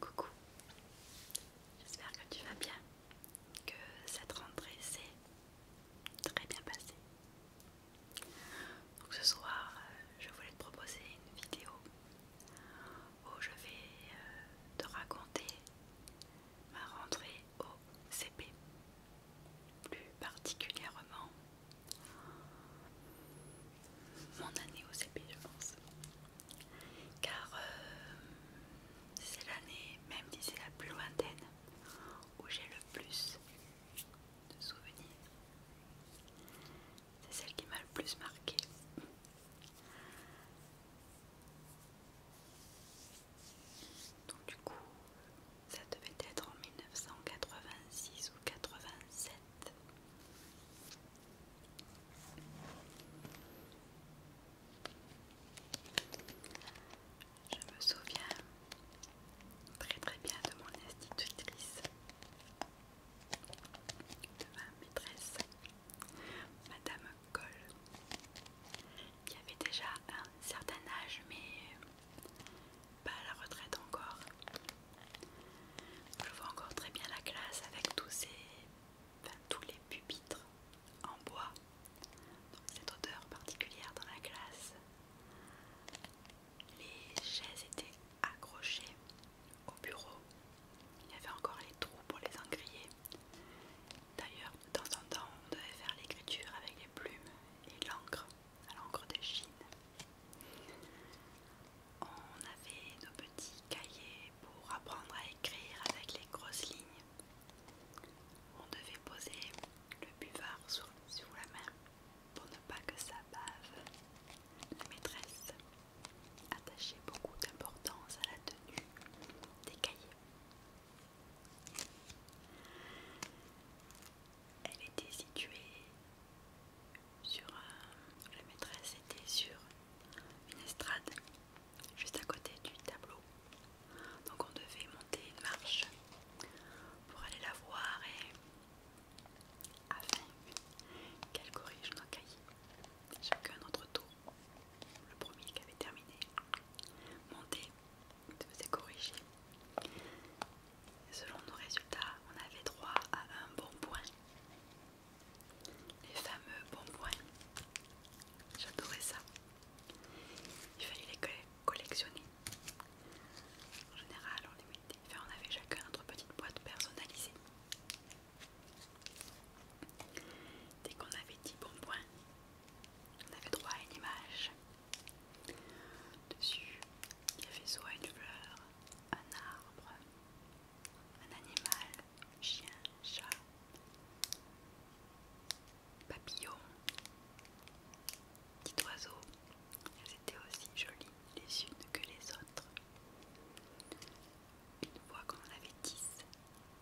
Coucou, j'espère que tu vas bien, que cette rentrée s'est très bien passée. Donc ce soir, euh, je voulais te proposer une vidéo où je vais euh, te raconter ma rentrée au CP. Plus particulièrement mon année au CP je pense. Car euh, c'est l'année, même d'ici la plus lointaine, où j'ai le plus de souvenirs. C'est celle qui m'a le plus marqué donc du coup, ça devait être en 1986 ou 87. Je me souviens très très bien de mon institutrice, de ma maîtresse, Madame Coll, y avait déjà un certain âge, mais pas à la retraite encore. Je vois encore très bien la classe avec tous ces, tous les pupitres en bois, cette odeur particulière dans la classe. Les chaises étaient accrochées au bureau. Il y avait encore les trous pour les engriller. D'ailleurs, de temps en temps, on devait faire l'écriture avec les plumes et l'encre, à l'encre de Chine. On avait nos petits cahiers pour apprendre à écrire avec les grosses lignes. On devait poser le buvard sur, la main pour ne pas que ça bave. La maîtresse attachait beaucoup d'importance à la tenue des cahiers. Elle était située sur. Euh, la maîtresse était sur une estrade juste à côté du tableau. Donc on devait monter une marche pour aller la voir et afin qu'elle corrige nos cahiers. Chacun autre tour. Le premier qui avait terminé monter se faisait corriger. Selon nos résultats, on avait droit à un bon point. Les fameux bon points. J'adorais ça. Il fallait les collectionner. En général, on on avait chacun notre petite boîte personnalisée. Dès qu'on avait 10 bon points, on avait droit à une image. Dessus, il y avait soit une fleur, un arbre, un animal, chien, chat, papillon, petit oiseau. Elles étaient aussi jolies les unes que les autres. Une fois qu'on en avait dix,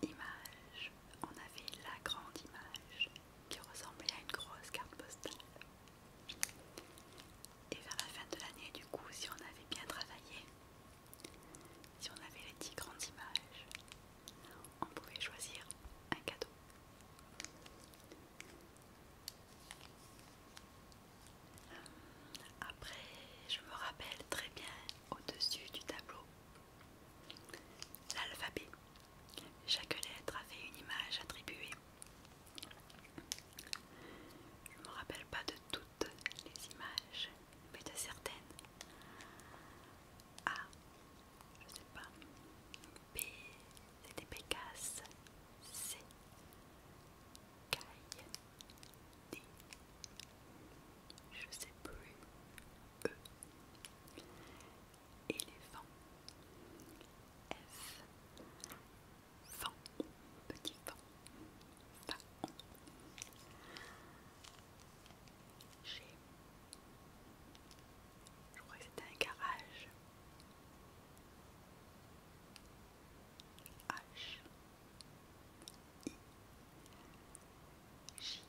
Image. On avait la grande image qui ressemblait à une grosse carte postale. Et vers la fin de l'année, du coup, si on avait bien travaillé, si on avait les 10 grandes images, on pouvait choisir un cadeau. Après, je me rappelle très bien au-dessus du tableau, L'alphabet. Chaque lettre avait une image attribuée. Je ne me rappelle pas de toutes les images, mais de certaines. A, je ne sais pas. B, c'était Pécasse. C, Caille. D, je ne sais plus. E éléphant F vent petit vent fa G je crois que c'était un garage H I J.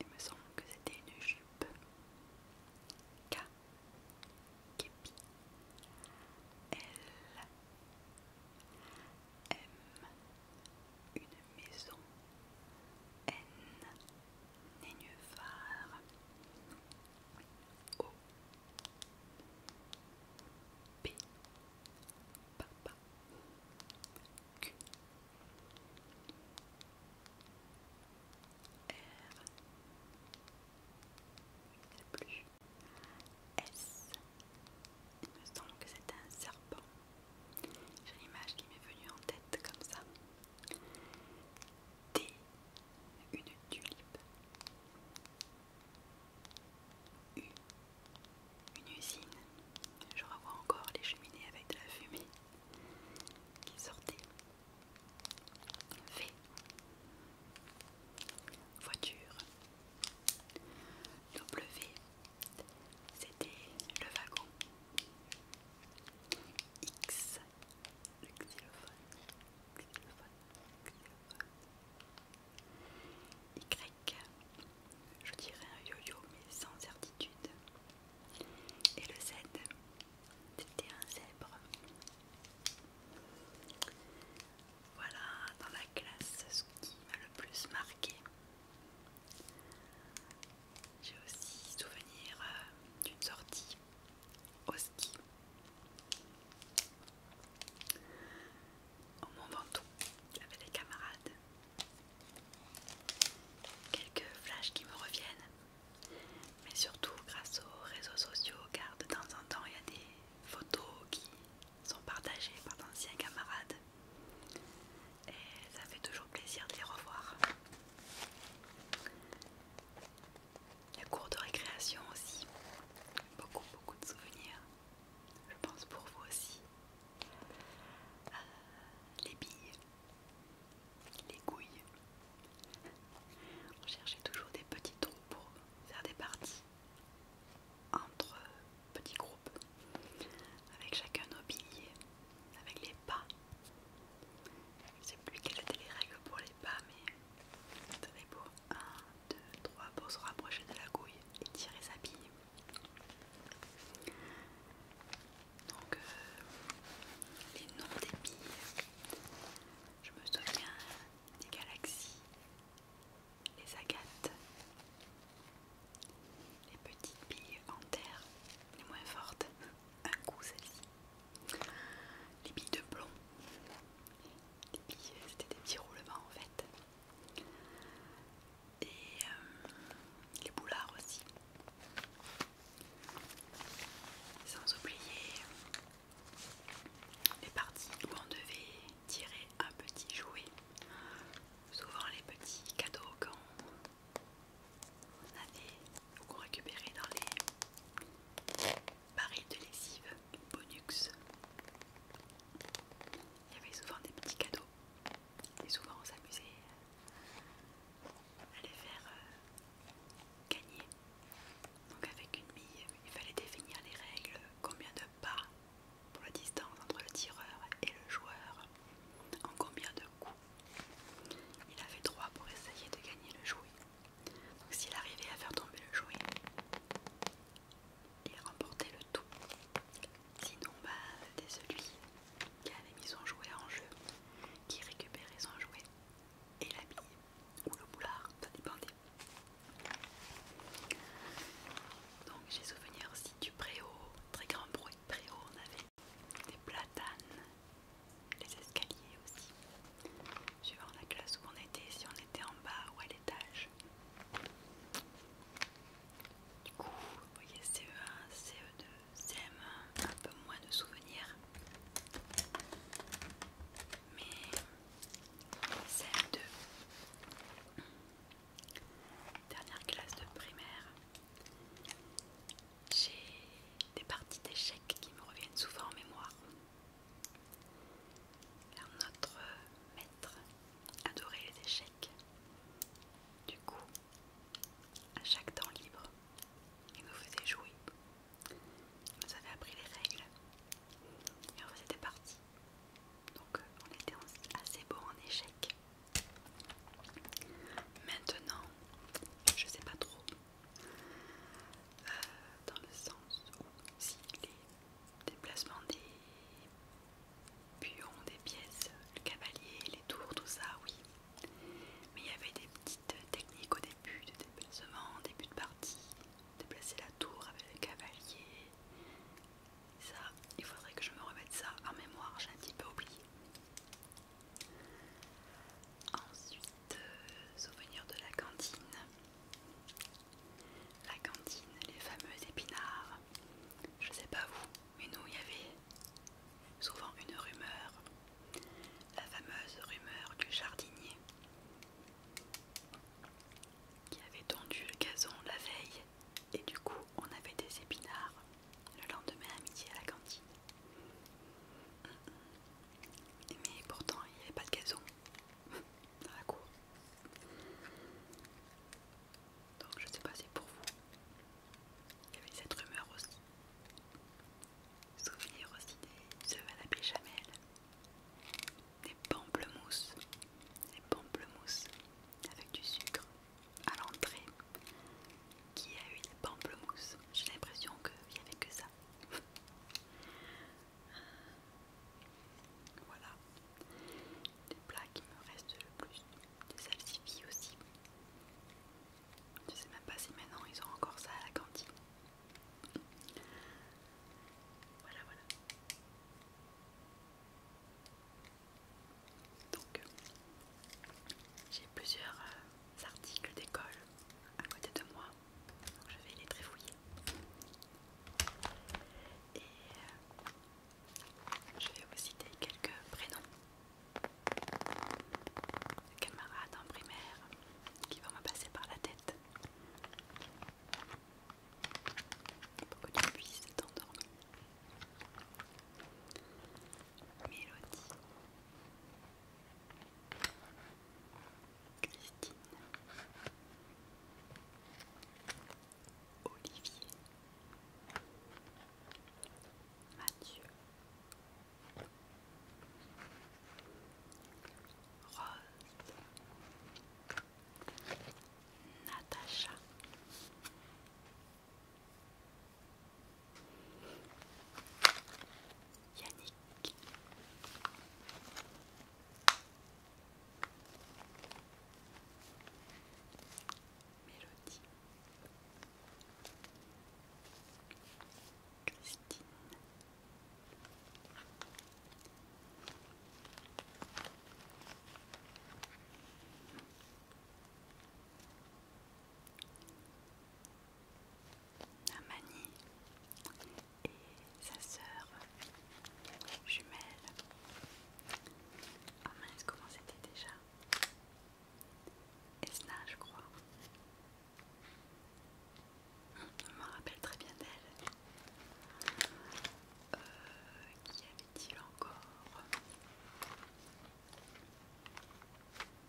Il me semble que c'était une jupe. K. Képi. L. M. Une maison. N. Nénuphar. O. P. Papa. Q. R S il me semble que c'est un serpent j'ai l'image qui m'est venue en tête comme ça D. une tulipe U une usine. Je revois encore les cheminées avec de la fumée qui sortait. V. Voiture. W. C'était le wagon. X. Le xylophone. xylophone, xylophone. Y. Je dirais un yo-yo mais sans certitude. Et le Z, c'était un zèbre. Voilà dans la classe ce qui m'a le plus marqué. J'ai aussi souvenir euh, d'une sortie au ski au Mont Ventoux j'avais les camarades Quelques flashs qui me reviennent, mais surtout grâce aux réseaux sociaux, car de temps en temps il y a des photos qui sont partagées par d'anciens camarades et ça fait toujours plaisir de les revoir. Les cours de récréation aussi, beaucoup beaucoup de souvenirs. Je pense pour vous aussi, euh, les billes, les couilles. On cherchait toujours des petits trous pour faire des parties entre petits groupes, avec chacun nos billes, avec les pas. Je ne sais plus quelles étaient les règles pour les pas, mais c'était pour 1, 2, 3, pour se rapprocher de la couille et tirer sa bille. Donc, euh, les noms des billes, je me souviens des galaxies, les agates, les petites billes en terre, les moins fortes, un coup celle-ci, les billes de plomb, c'était des petits roulements en fait et euh, les boulards aussi. Sans oublier euh, les parties où on devait tirer un petit jouet. Souvent les petits cadeaux qu'on avait ou qu'on récupérait dans les barils de lessive Bonux. Il y avait souvent des petits cadeaux et souvent on s'amusait euh, à les faire euh, gagner. Donc avec une bille, il fallait définir les règles, combien de pas pour la distance entre le tireur et le joueur, en combien de coups. Il avait droit pour essayer de gagner le jouet. Donc s'il arrivait à faire tomber le jouet, il remportait le tout. Sinon, bah, c'était celui qui avait mis son jouet en jeu, qui récupérait son jouet et la ou le boulard, ça dépendait. Donc, j'ai souvenir aussi du préau, très grand bruit de préau. On avait des platanes, les escaliers aussi, Je voir la classe où on était, si on était en bas ou à l'étage. Du coup, vous voyez CE1, CE2, CM1, un peu moins de souvenirs. Mais CM2, dernière classe de primaire, j'ai des parties d'échecs qui me reviennent souvent en mémoire. notre maître adorait les échecs. Du coup, à chaque temps libre, il nous faisait jouer. Vous nous avait appris les règles. Et on faisait des Donc euh, on était assez bon en échec. Maintenant, je sais pas trop. Euh, dans le sens où si les déplacements des Puyons des pièces, le cavalier, les tours, tout ça, oui. Mais il y avait des petites techniques au début de déplacement, début de partie, déplacer la tour avec le cavalier. Ça, il faudrait que je me remette ça en mémoire, j'ai un petit peu oublié. Ensuite, euh, souvenir de la cantine. La cantine, les fameux épinards. Je sais pas vous, mais nous, il y avait souvent une rumeur, la fameuse rumeur du jardinier qui avait tondu le gazon la veille et du coup on avait des épinards le lendemain à midi à la cantine. Mais pourtant il n'y avait pas de gazon dans la cour. Donc je sais pas si pour vous, il y avait cette rumeur aussi. Souvenir aussi des œufs à la béchamel, des pamplemousses, des pamplemousses avec du sucre à l'entrée. Qui a eu des pamplemousses J'ai l'impression qu'il n'y avait que ça. voilà. des plats qui me restent le plus. Des celle aussi. Je sais même pas si maintenant ils ont encore ça à la cantine. Voilà, voilà. Donc, j'ai plusieurs euh, articles d'école à côté de moi. Donc je vais les tréfouiller. Et euh, je vais vous citer quelques prénoms de camarades en primaire qui vont me passer par la tête pour que tu puisses t'endormir. Mélodie, Christine, Olivier, Mathieu, Rose, Natacha. Yannick Mélodie Christine Namanie et sa sœur jumelle ah comment c'était déjà Esna, je crois. Hum, je me rappelle très bien d'elle. Euh, qui avait-il encore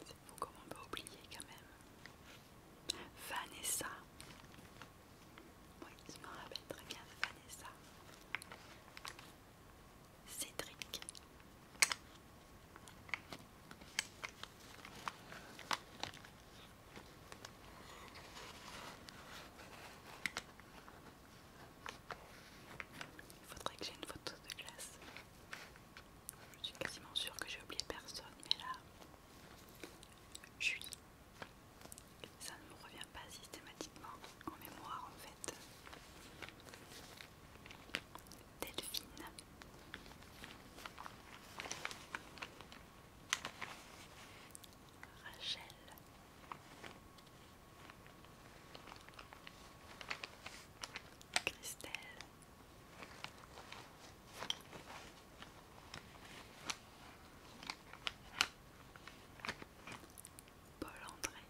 C'est fou comme on peut oublier quand même. Vanessa. Oui, je me rappelle très bien de Vanessa. Cédric. Il faudrait que j'aie une photo de glace. Je suis quasiment sûre que j'ai oublié personne, mais là, je suis ça ne me revient pas systématiquement en mémoire en fait. Delphine. Rachel. Christelle. Paul André. Lydia.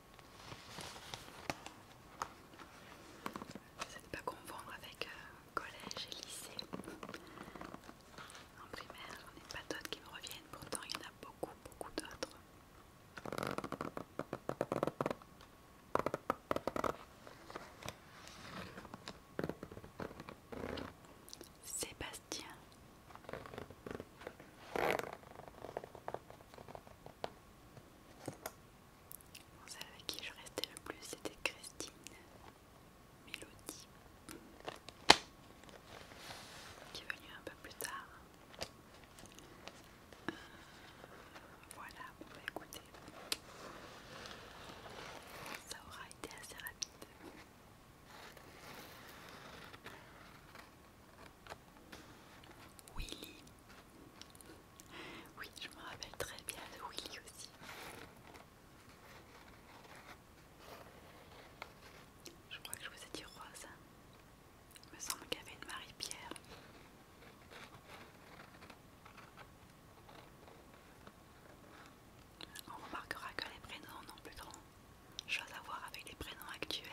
C'est pas confondre avec euh, collège et lycée. En primaire, j'en ai pas d'autres qui me reviennent, pourtant il y en a beaucoup, beaucoup d'autres. Sébastien avec qui je restais le plus c'était Christine Melody, qui est venue un peu plus tard. Euh, voilà, vous pouvez bah, écouter. ça aura été assez rapide. Willy. Oui, je me rappelle très bien de Willy aussi. Je crois que je vous ai dit rose. Il me semble qu'il y avait une Marie-Pierre. On remarquera que les prénoms n'ont plus grand chose à voir avec les prénoms actuels.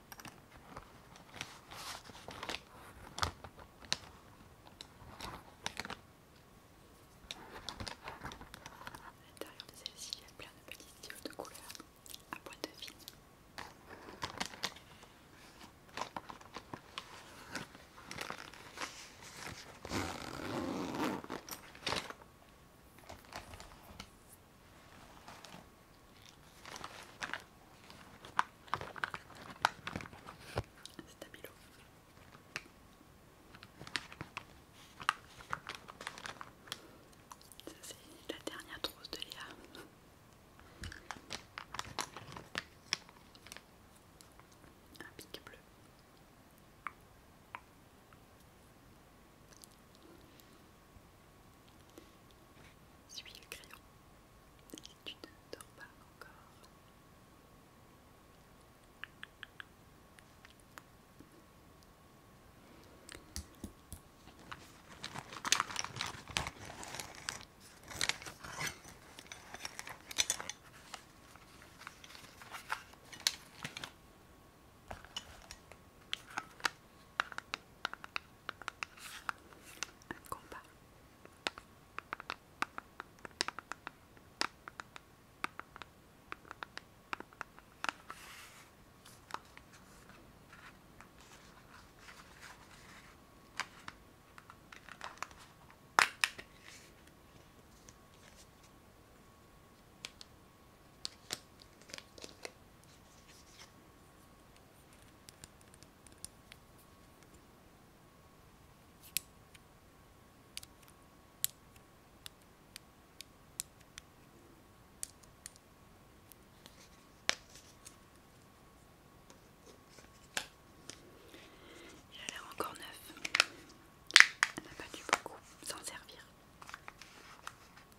À l'intérieur de celle-ci, il y a plein de petits styles de couleur à de vis. C'est Stabilo. Ça c'est la dernière trousse de Léa. Un pic bleu. Suis le crayon si tu ne dors pas encore. Un combat. Il a l'air encore neuf. Elle n'a pas dû beaucoup s'en servir.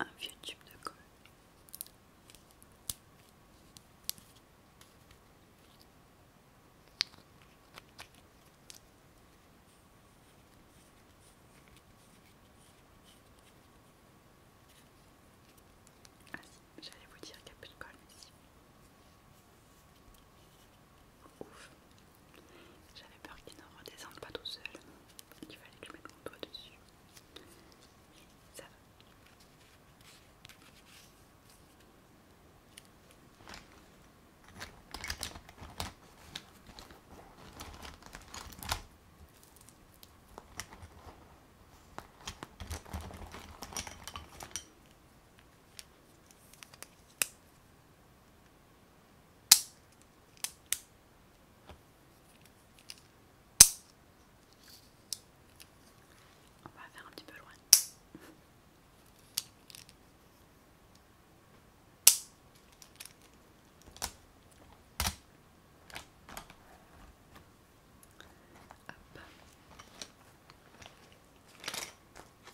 un vieux tube de colle. Ah si, j'allais vous dire qu'il n'y a plus de colle ici. Ouf, j'avais peur qu'il ne redescende pas tout seul. Il fallait que je mette mon doigt dessus. ça va. On va faire un petit peu loin.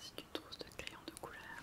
C'est une trousse de crayons de couleur.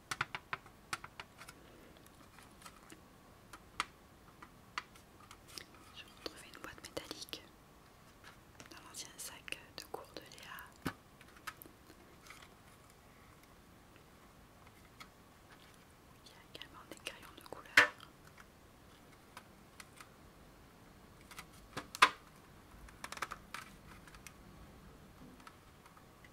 Je retrouvé une boîte métallique dans l'ancien sac de cours de Léa. Il y a également des crayons de couleur.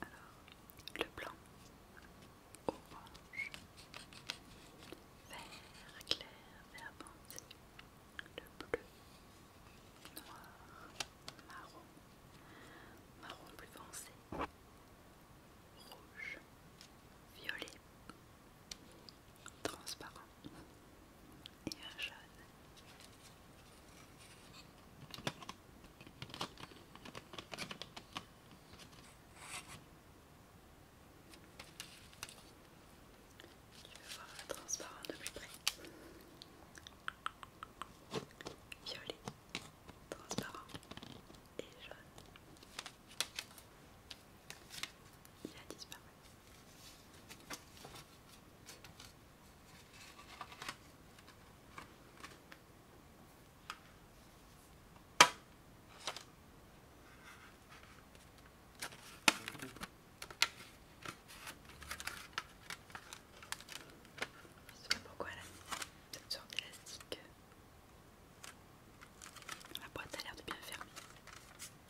Alors, le blanc, orange, vert clair, vert bandé, le bleu, noir, marron, marron plus foncé, rouge, violet, transparent et un jaune. Tu veux voir le transparent de plus près Violet, transparent et jaune. Il a disparu. Je ne sais pas pourquoi elle a mis cette sorte d'élastique. La boîte a l'air de bien fermer.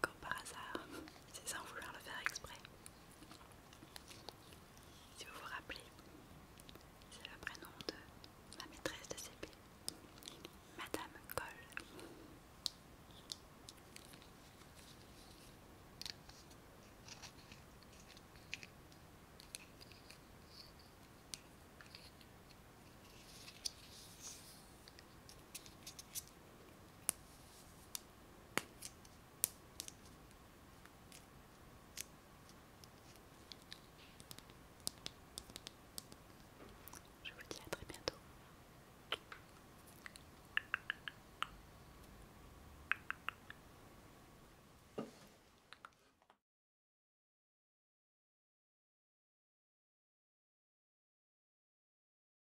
comme par hasard, c'est sans vouloir le faire exprès. Si vous vous rappelez, c'est le prénom de ma maîtresse de CP, Madame Cole. Je vous dis à très bientôt.